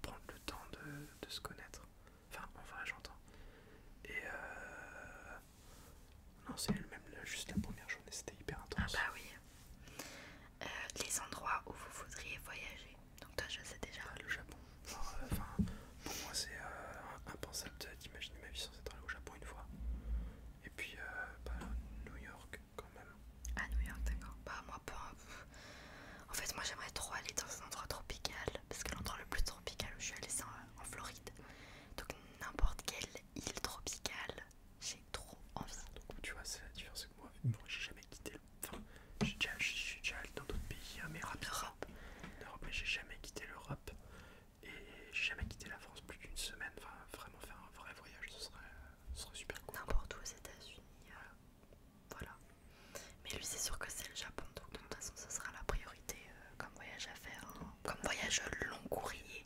prendre le temps de, de se connaître. Enfin, enfin j'entends. Et euh, non, c'est le même juste la première journée, c'était hyper ah intense. Ah, bah oui. Euh, les endroits où vous voudriez voyager. Donc, toi, je sais déjà. Bah, le Japon. Euh, pour moi, c'est euh, impensable d'imaginer ma vie sans être allé au Japon une fois. Et puis, bah, New York quand même. Ah, New York, d'accord. Bah, moi, pas. En fait, moi, j'aimerais trop aller dans un endroit tropical. Parce que l'endroit le plus tropical où je suis allée, c'est en, Floride. Donc, n'importe quel île tropicale. J'ai trop envie. Donc, tu vois, c'est la différence que moi. j'ai jamais quitté le. Enfin, j'ai déjà, allé dans d'autres pays, Amérique, hein, mais mais j'ai jamais quitté l'Europe. Et j'ai jamais quitté la France plus d'une semaine. Enfin, vraiment faire un vrai voyage, ce serait, super cool. N'importe où aux États-Unis. Euh, voilà. Mais lui, c'est sûr que c'est le Japon. Donc, de toute façon, ce sera la priorité euh, comme voyage à faire. Hein. Comme voyage long courrier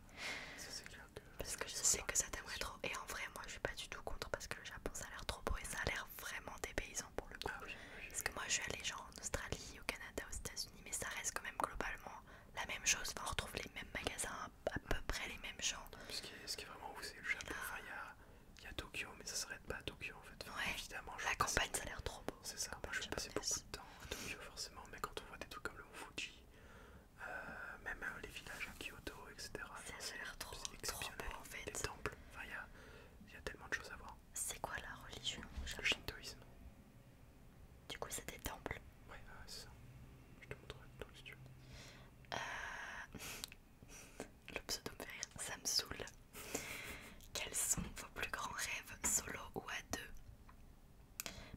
parce que je sais que ça t'aimerait trop. Et en vrai, moi je suis pas du tout contre parce que le Japon ça a l'air trop beau et ça a l'air vraiment paysans pour le coup. Ah parce que moi je suis allée genre en Australie, au Canada, aux États-Unis, mais ça reste quand même globalement la même chose. Enfin, on retrouve les mêmes magasins, à peu près les mêmes gens. Ce qui est, vraiment ouf, c'est le Japon. il y a. Tokyo, mais ça s'arrête pas à Tokyo en fait. évidemment, la campagne, ça a l'air trop beau. C'est ça, moi je vais passer beaucoup de temps à Tokyo forcément, mais quand on voit des trucs comme le Mont Fuji, euh, même euh, les villages à Kyoto, etc. Ça a l'air trop, en fait. Les temples, il y, a tellement de choses à voir. C'est quoi la religion Le shintoïsme. Du coup c'est des temples Ouais, ah, c'est ça. Je te montrerai tout si tu euh, [LAUGHS] Le pseudo me fait ça me saoule. Quels sont vos plus grands rêves, solo ou à deux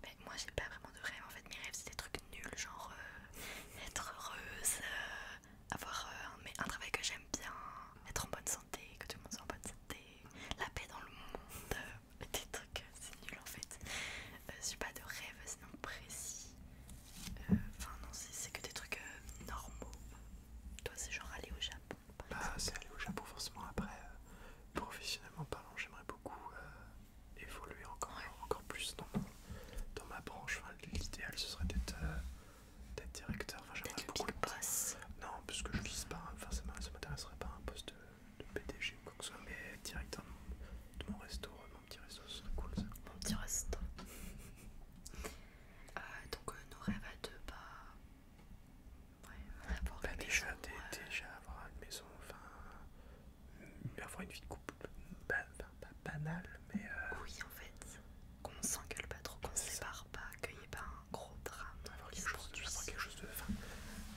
mais moi j'ai pas vraiment de rêve en fait, mes rêves c'est des trucs nuls, genre euh, être heureuse, euh, avoir euh, un, travail que j'aime bien, être en bonne santé, que tout le monde soit en bonne santé, la paix dans le monde, des trucs, c'est nul en fait. je j'ai pas de rêve sinon précis, enfin non, c'est que des trucs normaux. Toi c'est genre aller au Japon. Bah, c'est aller au Japon forcément après, professionnellement parlant, j'aimerais beaucoup évoluer encore, encore plus dans, dans ma branche. Enfin, L'idéal ce serait d'être euh, directeur. Enfin, J'aimerais beaucoup le Non, parce que je vise pas, enfin, ça m'intéresserait pas un poste de, PDG ou quoi que ce soit, mais directeur de, mon resto, euh, mon petit resto, ce serait cool ça. Mon petit resto. Euh, donc, nos rêves à deux, bah. Ouais, bah, déjà, déjà avoir une maison, enfin avoir une vie de couple pas, banale, mais. Euh, oui, en fait, qu'on s'engueule pas trop, qu'on se sépare pas, qu'il n'y ait pas un gros drame. Avoir quelque, chose, de.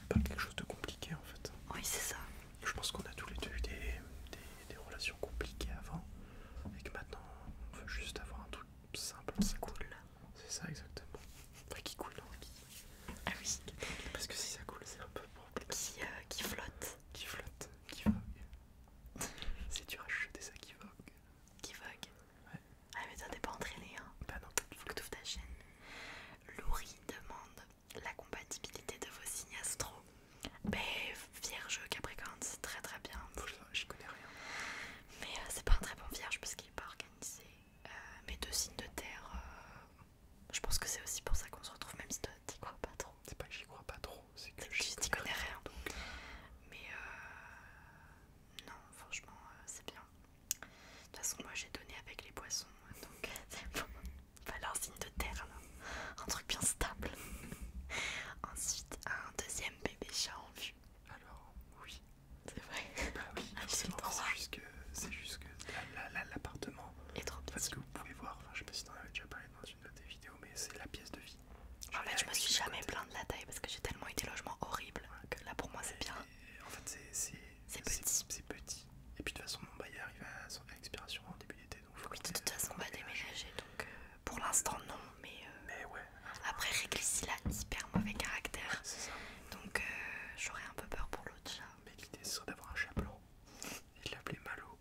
pas quelque chose de compliqué en fait. Oui, c'est ça. Je pense qu'on a tous les deux eu des, relations compliquées avant et que maintenant on veut juste avoir un truc simple. Qui coule. C'est ça, exactement. qui coule, ah oui. Parce que si ça coule, c'est un peu pour Qui, euh, qui flotte. Qui flotte, qui vogue. si tu rachètes ça, qui vogue. Qui vogue Ouais. Ah, mais t'en es pas entraîné, hein. Bah non. faut que tu ouvres ta chaîne. Loury demande la compatibilité de vos signes astro. Mais ben, vierge, capricorne, c'est très très bien. J'y connais rien. Mais euh, c'est pas un très bon vierge parce qu'il est pas organisé. Euh, mes deux signes de terre, euh, je pense que c'est aussi pour ça qu'on se retrouve, même si t'y crois pas trop. C'est pas que j'y crois pas trop, c'est que je n'y connais rien. Euh. Mais non, franchement, c'est bien. De toute façon, moi j'ai donné avec les poissons, donc c'est [LAUGHS] bon. un signe de terre, là. un truc bien stable. [LAUGHS] Ensuite, un deuxième bébé chat en vue. Alors, oui. C'est vrai. Bah [LAUGHS] ah, c'est juste que Là l'appartement est trop petit. Parce que vous pouvez voir, enfin, je sais pas si tu en avais déjà parlé dans une de tes vidéos, mais c'est la pièce de vie. Ah, en fait, je me suis jamais plaint de la taille parce que j'ai tellement eu des logements horribles que là pour moi c'est bien. en fait, c'est petit. C'est petit. Et puis de toute façon, mon bail arrive à son expiration en début d'été. Oui, de toute façon, on va déménager donc euh, pour l'instant non, mais, euh, ouais, après Réglisse il a hyper mauvais caractère. Donc euh, j'aurais un peu peur pour l'autre chat mais l'idée serait d'avoir un et de l'appeler Malo.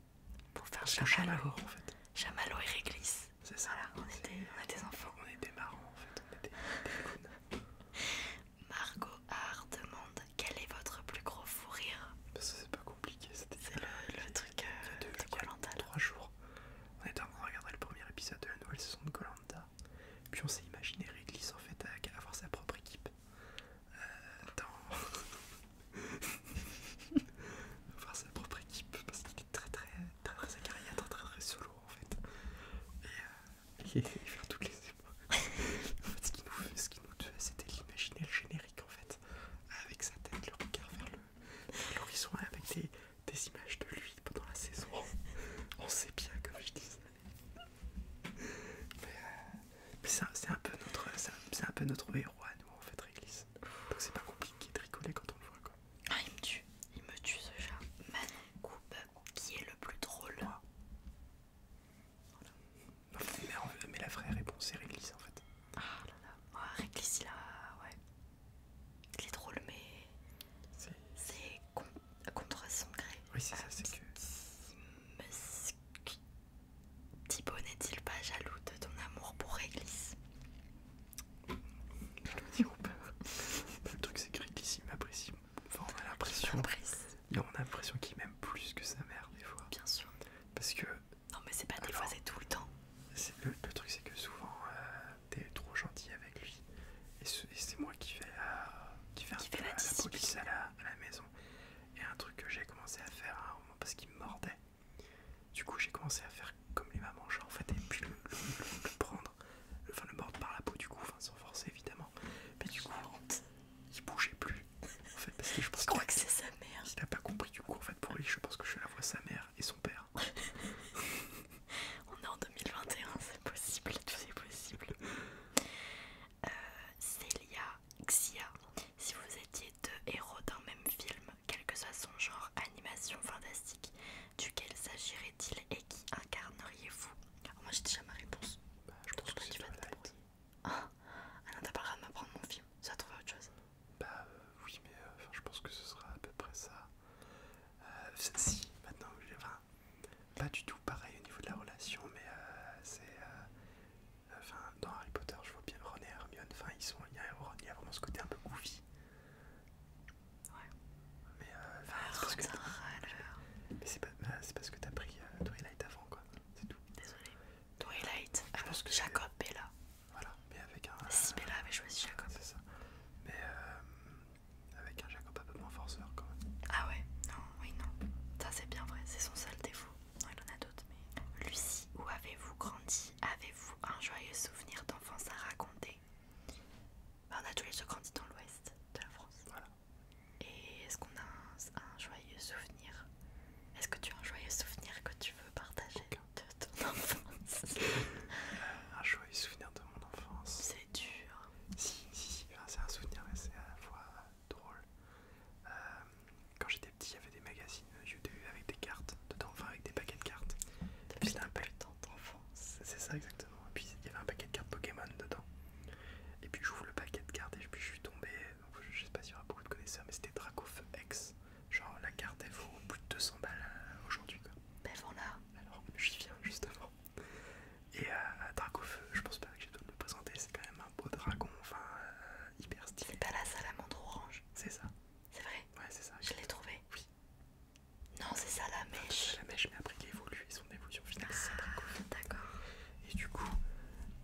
Pour faire un chamallow. en fait. Chamalo et réglisse. C'est ça. Voilà, on, était, des enfants. On était marrants en fait. On était des Margot Hart demande quel est votre plus gros fou rire Parce c'est pas compliqué. C'est le, truc de euh, Trois jours. On était en train de regarder le premier épisode de la nouvelle saison de Colanta. Puis on s'est imaginé Réglisse en fait à avoir sa propre équipe euh, dans sa [LAUGHS] propre équipe parce qu'il est très très très très très, très très solo en fait et, euh, il [LAUGHS] toutes les en fait, ce qui nous, ce qui nous fait c'était l'imaginer le générique en fait avec sa tête le regard vers l'horizon avec des, des images de lui pendant la saison on sait bien comme je disais mais, euh, c'est un, peu notre héros à nous en fait Réglisse donc c'est pas compliqué de rigoler quand on le voit quoi ah il me tue il me tue ce chat Manon Coupe qui est le plus drôle Mais, la vraie réponse c'est Réglisse en fait ah là là Réglisse il a ouais il est drôle mais c'est contre son gré. Oui, c'est ça, euh, c'est que. Thibaut n'est-il pas jaloux de ton amour pour Réglisse Je le Le truc, c'est que Réglisse, il m'apprécie. on a l'impression. On l'impression qu'il m'aime plus que sa mère, des fois. Bien sûr. Parce que. Non, mais c'est pas des fois, c'est tout le temps. Le, truc, c'est que souvent, euh, t'es trop gentil avec lui. Et c'est moi qui fais la, qui la, police à la maison. Et un truc que j'ai commencé à faire à parce qu'il mordait. Du coup, j'ai commencé à faire comme les mamans, genre en fait, et puis le, prendre, le, enfin le mordre par la peau du coup, enfin sans forcer évidemment. Mais du coup, il bougeait plus. En fait, parce que je pense je que, c'est sa mère. Il a pas compris du coup, en fait, pour lui, je pense que je suis la fois sa mère et son père. [LAUGHS] On est en 2021, c'est possible, tout est possible. Euh, Célia, Celia Xia. Si vous étiez deux héros d'un même film, quel que soit son genre, animation fantastique, duquel s'agirait-il et qui incarneriez-vous ah, Moi j'ai déjà ma réponse. Bah, je pense que, c'est tu vas Ah, ah non, t'as pas le droit de m'apprendre mon film, ça trouver autre chose. Bah euh, oui, mais euh, je pense que ce sera à peu près ça. si, maintenant, enfin, pas du tout pareil au niveau de la relation, mais euh, c'est. Euh, enfin, dans Harry Potter, je vois bien Ron et Hermione. Enfin, ils sont. Il y, a vraiment ce côté un peu goofy. Ouais. Mais euh, ah, c'est parce, pas, bah, parce que t'as pris euh, Twilight avant, quoi. C'est tout. Désolé. Twilight. parce ce que Jacob Bella. Voilà, mais avec un. Si Bella avait choisi Jacob. C'est ça. Mais avec un Jacob un peu moins forceur, quand même. Ah ouais. Non, oui, non. Ça, c'est bien vrai, c'est son seul défaut. Non, il en a d'autres, mais. Lucie, où avez-vous grandi Avez-vous un joyeux souvenir d'enfance à raconter bah, On a tous les deux grandi dans l'ouest de la France. Voilà. Et est-ce qu'on a un, joyeux souvenir Est-ce que tu as un joyeux souvenir que tu veux partager de ton [LAUGHS] enfance euh, Un joyeux souvenir de mon enfance. C'est dur. Si, si, si. c'est un souvenir, mais c'est à la fois euh, drôle. Euh, quand j'étais petit, il y avait des magazines YouTube avec des cartes dedans, enfin avec des paquets de cartes. c'était un temps d'enfant. C'est ça exactement. Et puis il y avait un paquet de cartes Pokémon dedans. Et puis j'ouvre le paquet de cartes et puis je suis tombé. je sais pas s'il y aura beaucoup de connaisseurs, mais c'était Dracof X. Genre la carte elle vaut plus de 200 balles euh, aujourd'hui quoi. Ben voilà. Alors j'y viens justement. Et euh, feu je pense pas que j'ai dois me présenter, c'est quand même un beau dragon, enfin euh, hyper stylé. C'est pas la salamandre orange C'est ça. C'est vrai Ouais, c'est ça. Je l'ai trouvé Oui. Non, c'est ça La mèche, mais après il évolue son évolution finale, c'est Dracofeu. Ah, d'accord. Et du coup,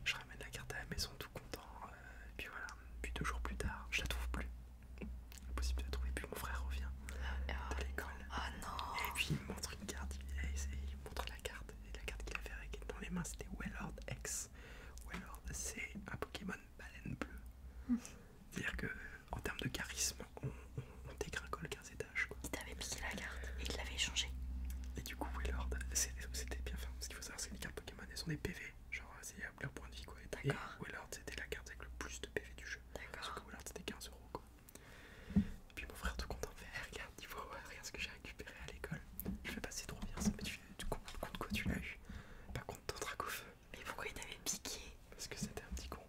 je ramène la carte à la maison tout content. Euh, et puis voilà, puis deux jours plus tard, je la trouve plus. Impossible de la trouver, puis mon frère revient de oh, l'école. Oh non Et puis il me montre une carte, il, montre la carte. Et la carte qu'il avait avec dans les mains, c'était Wellord X. Wellord, c'est un Pokémon baleine bleue. Mm. C'est-à-dire que euh, en termes de charisme, on, dégringole 15 étages. Quoi. Il t'avait mis la carte et il l'avait échangée. Et du coup, Wellord, c'était bien. fin. ce qu'il faut savoir, c'est que les cartes Pokémon, elles sont des PV. Genre, euh, c'est euh, leur point de vie. Quoi. Et Wellord, c'était la carte avec le plus de PV du jeu. D'accord. Parce que Wellord, c'était 15 euros. Quoi. Et puis mon frère tout content fait eh, regarde, il regarde ce que j'ai récupéré à l'école. Je vais passer trop bien ça, mais tu, tu contre quoi tu l'as eu Pas contre ton trac au feu. Mais pourquoi il t'avait piqué Parce que c'était un petit con.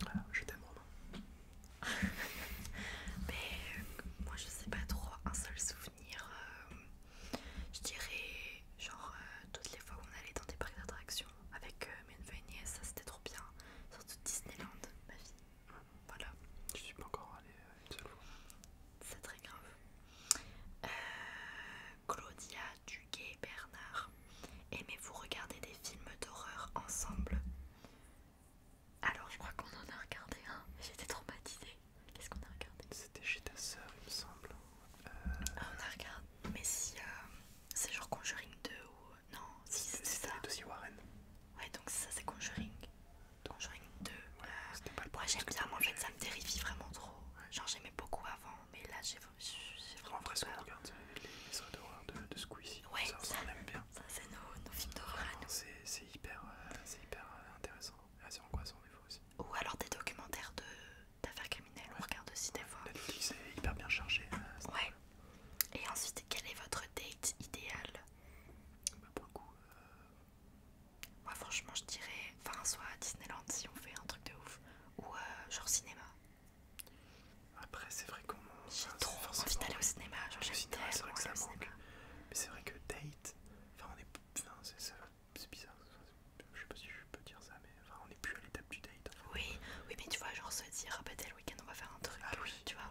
Voilà, ah, je t'aime Romain. [LAUGHS] mais euh, moi je sais pas trop, un seul souvenir, euh, je dirais genre euh, toutes les fois où on allait dans des parcs d'attractions avec mes nièces, ça c'était trop bien. Surtout Disneyland, ma vie. Voilà. Je suis pas encore allé euh, une seule fois. C'est très grave. Euh, Claudia Duguay Bernard. Aimez-vous regarder des films d'horreur ensemble Alors je crois qu'on en a regardé un. J'étais traumatisée. Qu'est-ce qu'on a regardé C'était chez ta sœur il me semble. Euh, ah, on a regardé. Mais si c'est genre Conjuring 2 ou... Non, si c'est ça. C'est Warren. Ouais donc ça c'est Conjuring. Donc Donjon 2. Ouais, C'était pas moi j'aime bien, moi ça me terrifie vraiment trop. Genre j'aimais beaucoup avant, mais là j'ai vraiment. En vrai, peur. on regarde euh, les histoires d'horreur de, de Squeezie, ouais, ça, on aime bien. Ça, c'est nos, films d'horreur C'est hyper, euh, hyper euh, intéressant, assez ah, angoissant des fois aussi. Ou alors des documentaires d'affaires criminelles, on regarde aussi des fois. C'est hyper bien chargé. ouais. Et ensuite, quel est votre date idéale Beaucoup Pour le coup, moi franchement je dirais, enfin soit Disneyland si on fait un truc de ouf, ou euh, genre cinéma. Après c'est vrai qu'on... J'ai trop envie d'aller au cinéma, genre j'aime tellement c'est au Cinéma. Mais c'est vrai que date, enfin c'est bizarre, je sais pas si je peux dire ça, mais on est plus à l'étape du date. Oui, oui mais tu vois genre se dire, ah bah le week-end on va faire un truc, ah tu vois.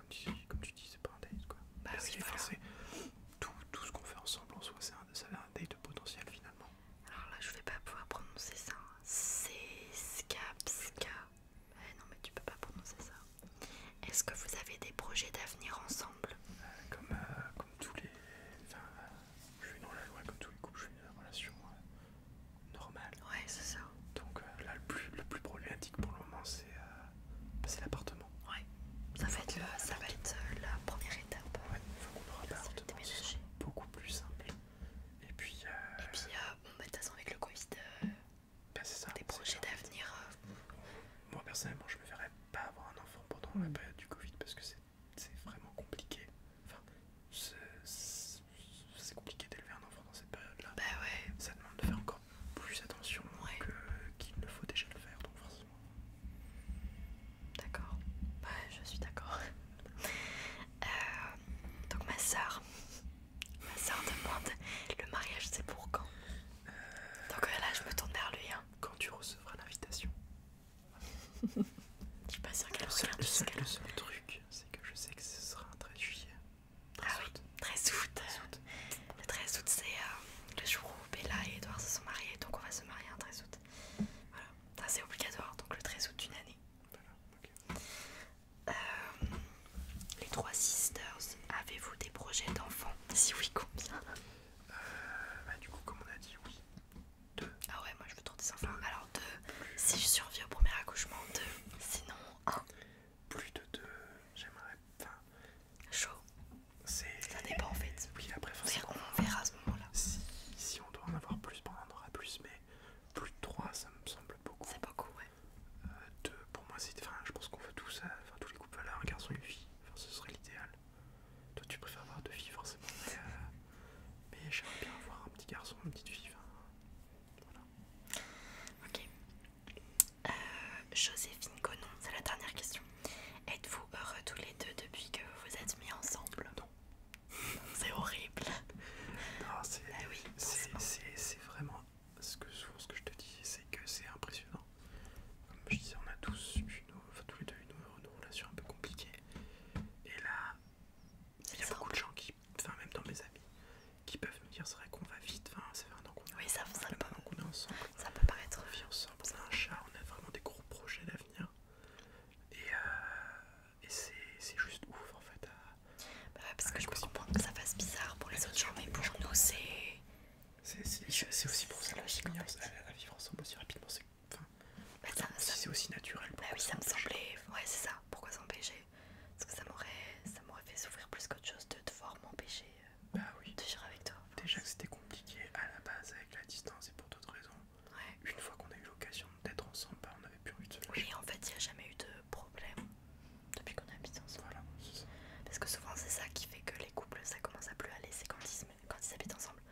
comme tu, dis, c'est pas un date quoi. Bah oui, tout, tout ce qu'on fait ensemble en soi, c'est un, un date potentiel finalement. Alors là, je vais pas pouvoir prononcer ça. Hein. C'est Seska, eh non, mais tu peux pas prononcer ça. Est-ce que vous avez des projets d'avenir ensemble euh, comme, euh, comme tous les. Enfin, je suis dans la loi, comme tous les couples, je suis dans une relation euh, normale. Ouais, c'est ça. Donc là, le plus, le plus problématique pour le moment, c'est. C'est l'appartement. Ça, va être, ça va euh, la première étape. c'est beaucoup plus simple. Et puis, euh, Et puis euh, bah, de toute façon, avec le Covid, ben, des projets d'avenir. Moi, personnellement, je me verrais pas avoir un enfant pendant la mm. période du Covid parce que c'est vraiment compliqué. c'est compliqué d'élever un enfant dans cette période-là. Bah ça demande de faire encore plus attention qu'il ne faut déjà le faire, donc forcément. D'accord, Ouais, bah, je suis d'accord. Euh, donc ma soeur, ma soeur demande le mariage c'est pour quand euh, Donc euh, là je me tourne vers lui. Hein. Quand tu recevras l'invitation. [LAUGHS] je suis pas sûre qu'elle Le seul, truc, c'est que je sais que ce sera un très juillet. 13 août. 13 août. 13 août. Le 13 août, c'est euh, le jour où Bella et Edouard se sont mariés, donc on va se marier un 13 août. Voilà, ça c'est obligatoire, donc le 13 août d'une année. Voilà, OK. euh, les trois sisters, avez-vous des projets d'enfants Si oui, combien euh, bah, Du coup, comme on a dit, oui. 2. Ah ouais, moi je veux trop des enfants. Alors 2 si je survis au premier accouchement, 2 Sinon, 1. Plus de 2, j'aimerais. Chaud. Ça dépend en fait. Oui, après, on, verra à ce moment-là. Si, on doit en avoir plus, on en aura plus, mais plus de 3, ça me semble beaucoup. C'est beaucoup, ouais. Euh, deux, pour moi, c'est. Enfin, je pense qu'on veut tous, ça euh, tous les couples valeur, un garçon et une fille. Enfin, ce serait l'idéal. Toi, tu préfères avoir deux filles, forcément. Mais, euh, j'aimerais bien avoir un petit garçon, une petite fille. voilà. Ok. Euh, Joséphine Conon, c'est la dernière question. Êtes-vous heureux tous les deux depuis que vous vous êtes mis ensemble Non. c'est horrible. Bah c'est vraiment ce que que je te dis, c'est que c'est impressionnant. Comme je disais, on a tous eu tous les deux une, relation un peu compliquée. Et là, il y a beaucoup de gens qui, enfin même dans mes amis, qui peuvent c'est vrai qu'on va vite, enfin, ça fait un an qu'on oui, ça, ça peut, pas est ensemble. Ça peut paraître. On vit ensemble, on a un chat, on a vraiment des gros projets d'avenir. Et, euh, et c'est juste ouf en fait. Bah parce que je comprendre que ça fasse bizarre pour les autres gens, mais pour nous c'est. C'est aussi pour ça logique on vivre ensemble aussi rapidement. C'est enfin, bah, aussi naturel. Bah oui, ça me semblait. Ouais, c'est ça. Pourquoi s'empêcher Parce que ça m'aurait fait souffrir plus qu'autre chose de devoir m'empêcher bah oui. Déjà que c'était compliqué à la base avec la distance et pour d'autres raisons. Une fois qu'on a eu l'occasion d'être ensemble, bah, on n'avait plus envie de se Oui, en fait, il n'y a jamais eu de problème depuis qu'on habite ensemble. Parce que souvent, c'est ça qui fait que les couples, ça commence à plus aller. C'est quand ils, quand ils habitent ensemble.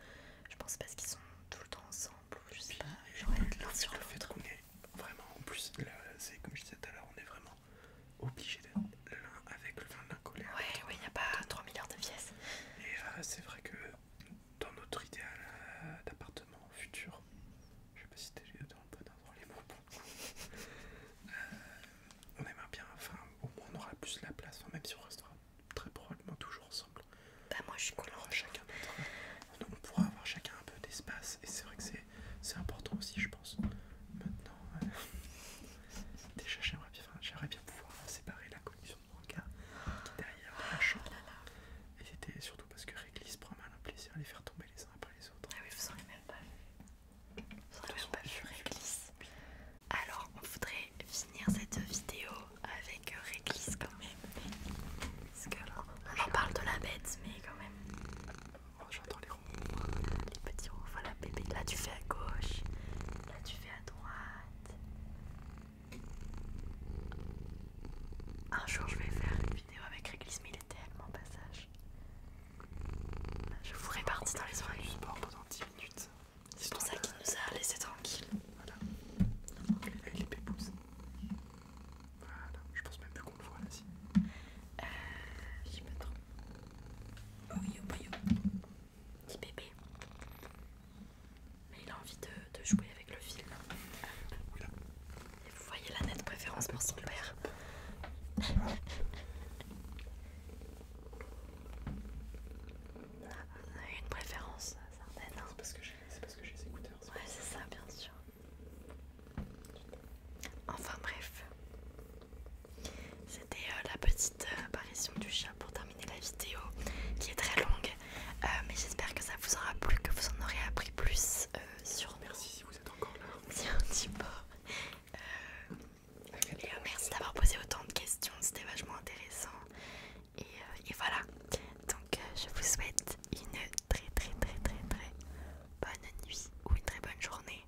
Je pense parce qu'ils sont tout le temps ensemble. Je sais Puis, pas, genre l'un sur Vraiment, en plus, c'est comme je disais tout à l'heure, on est vraiment obligé d'être l'un avec le vin de Ouais, il n'y a pas 3 milliards de pièces. Et euh, c'est vrai que dans notre idéal euh, d'appartement futur, je sais pas si t'es dans le dans les mots, [LAUGHS] euh, on aimerait bien, enfin, au moins on aura plus la place, même si on restera très probablement toujours ensemble. Bah, moi je suis cool. On chacun notre. On, pourra avoir chacun un peu d'espace, et c'est vrai que c'est important aussi, je pense. Maintenant, Déjà, j'aimerais bien, bien pouvoir séparer la collection de mangas qui derrière la chambre. Ah Et c'était surtout parce que Réglisse prend mal un plaisir à les faire tomber les uns après les autres. Ah oui, vous en avez même pas vu. Vous en avez même pas vu Réglisse. Alors, on voudrait finir cette vidéo avec Réglisse quand même. Parce que, on parle de la bête, mais quand même. Oh, j'adore les ronds. Les petits ronds. Voilà, bébé. Là, tu fais à gauche. Là, tu fais à droite. Un jour, je vais faire une vidéo avec Réglisse, mais il est tellement passage. Je vous répartis dans les soirées. pendant 10 minutes. C'est pour ça qu'il nous a laissé tranquille. Voilà. les Voilà. Je pense même plus qu'on le voit là-dessus. Euh, Oh Petit bébé. Mais il a envie de, jouer avec le film Et vous voyez la nette préférence pour son père. On a eu une préférence hein. certaine. C'est parce que j'ai les écouteurs. Ouais, c'est ça, bien sûr. Enfin bref, c'était euh, la petite euh, apparition du chat pour terminer la vidéo qui est très longue. Euh, mais j'espère que ça vous aura plu, que vous en aurez appris plus sur. Merci si vous êtes encore là. Si [LAUGHS] un petit merci d'avoir posé autant de questions, c'était vachement intéressant. Et, voilà. Donc je vous souhaite une très très très très très bonne nuit ou une très bonne journée.